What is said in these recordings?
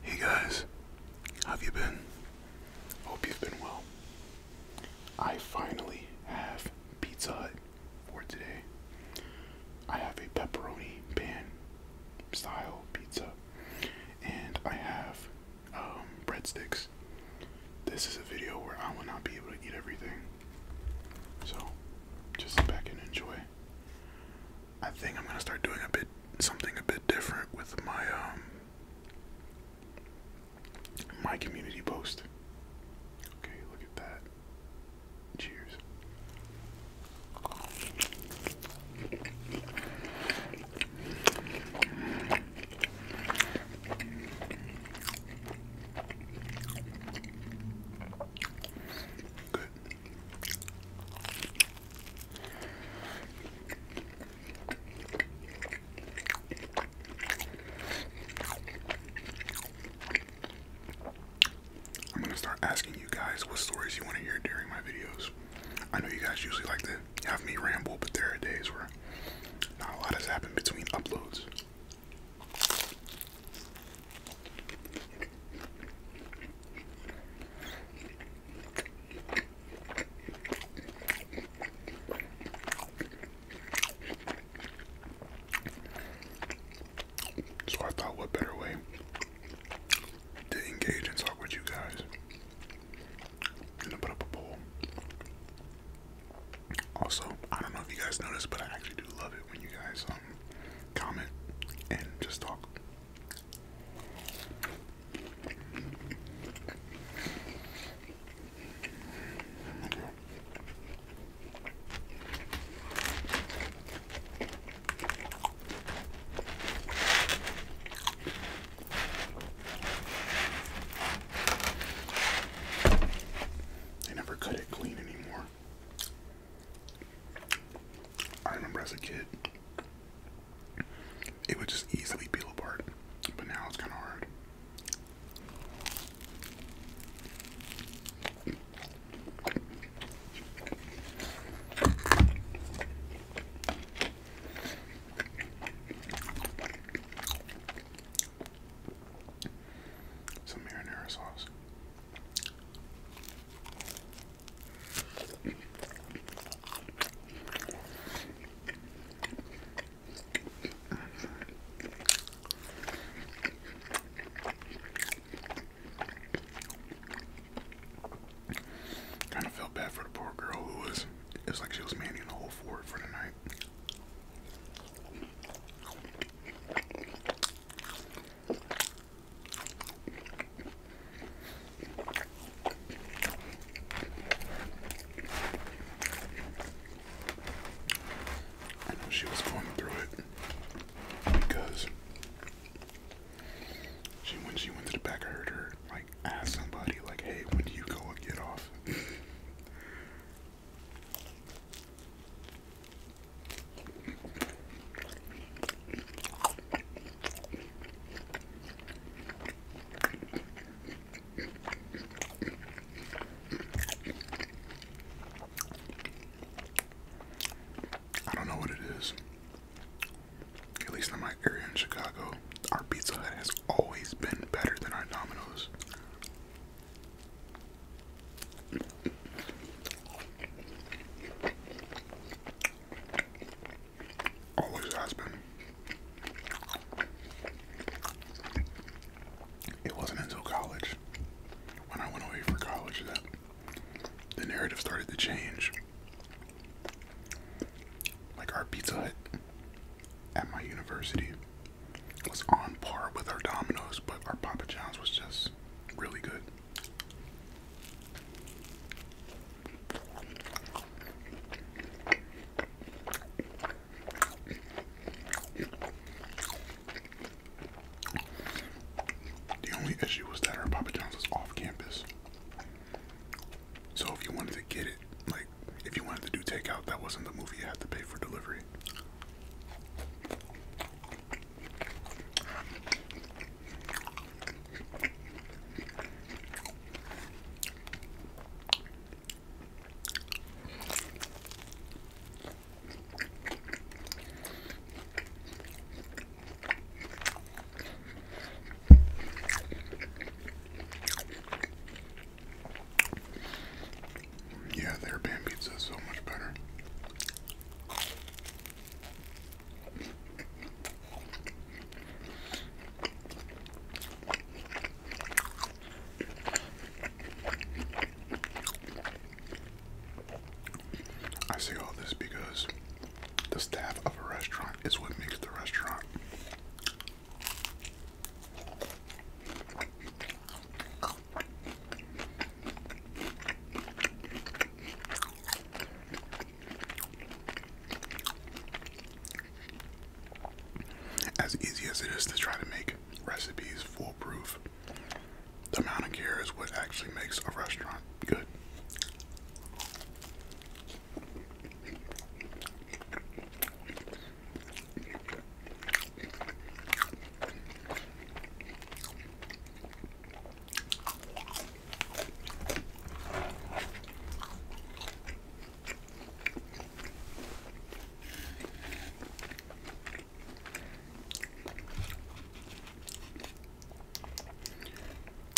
Hey guys, how've you been? Hope you've been well. I finally have Pizza Hut for today. I have a pepperoni pan style pizza, and I have um, breadsticks. This is a video where I will not be able to eat everything, so just sit back and enjoy. I think I'm gonna start doing a bit something a bit different with my um, my community post. Okay, look at that. Cheers. Good. I'm gonna start asking you guys what stories you want to hear during my videos. I know you guys usually like to have me ramble, but there are days where not a lot has happened between uploads. So I thought, what better way to engage and talk with you guys than to put up a poll? Also, I don't know if you guys noticed, but I actually do love it when you guys um comment and just talk. I never cut it clean anymore. I remember as a kid, it would just easily peel apart, but now it's kind of hard. Some marinara sauce. Kind of felt bad for the poor girl who was, it was like she was manning the whole fort for the night she was going through it because she when she went to the back I heard her like ask somebody like hey when do you go get off I don't know what it is. At least in my area in Chicago, our Pizza Hut has always been better than our Domino's. Always has been. It wasn't until college, when I went away for college, that the narrative started to change. Like our Pizza Hut at my university was on par with our Domino's, but our Papa John's was just really good. The only issue was that our Papa John's was off campus. So if you wanted to get it, like if you wanted to do takeout, that wasn't the movie you had to pay for delivery. Yeah, their pan pizza is so much better. I say all this because the staff of a restaurant is what makes the restaurant. As easy as it is to try to make recipes foolproof, the amount of care is what actually makes a restaurant good.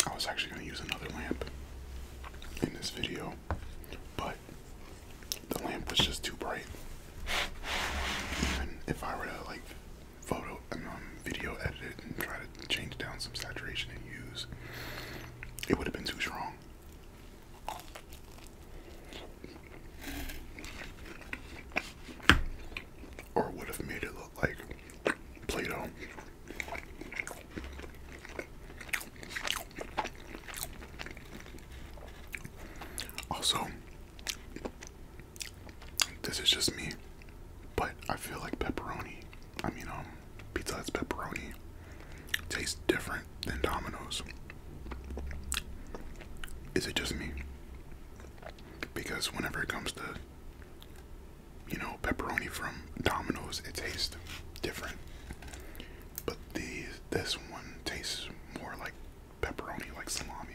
I was actually going to use another lamp in this video, but the lamp was just too bright. Even if I were to like photo and um, um, video edited. and try to change down some saturation and use, it would have been too strong. Or would have made it look like Play Also, this is just me, but I feel like pepperoni. I mean, um, pizza has pepperoni tastes different than Domino's. Is it just me? Because whenever it comes to, you know, pepperoni from Domino's, it tastes different. But these, this one tastes more like pepperoni, like salami.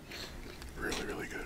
Really, really good.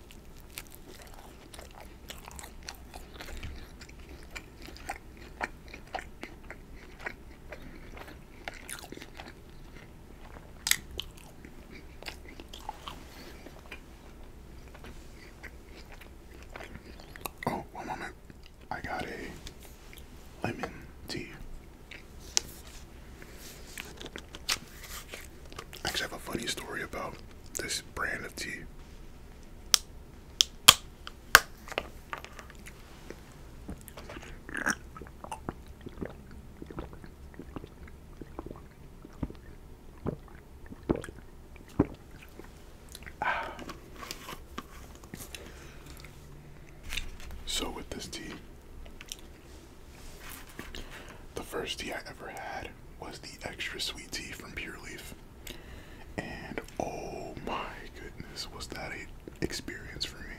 Oh, one moment. I got a lemon tea. I actually have a funny story about this brand of tea. So, with this tea, the first tea I ever had was the extra sweet tea from Pure Leaf. And oh my goodness, was that an experience for me?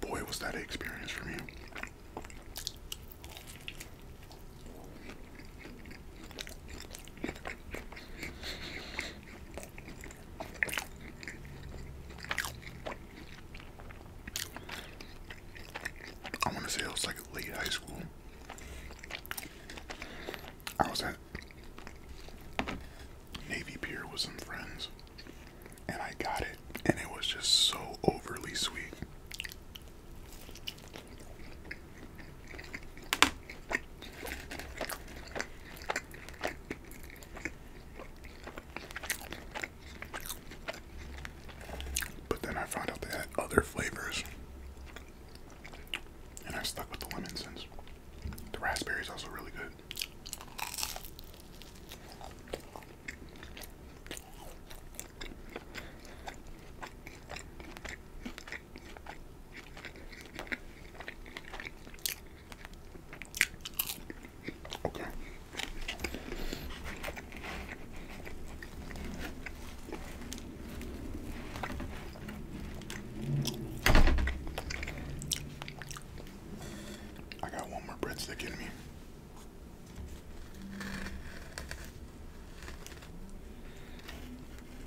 Boy, was that an experience for me. I want to say it was like late high school. I was at Navy Pier with some friends, and I got it, and it was just so overly sweet. But then I found out they had other flavors. And I stuck with the lemon since. The raspberry is also really good. Okay. I got one more breadstick in me.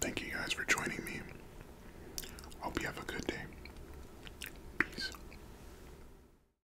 Thank you guys for joining me. Hope you have a good day. Peace.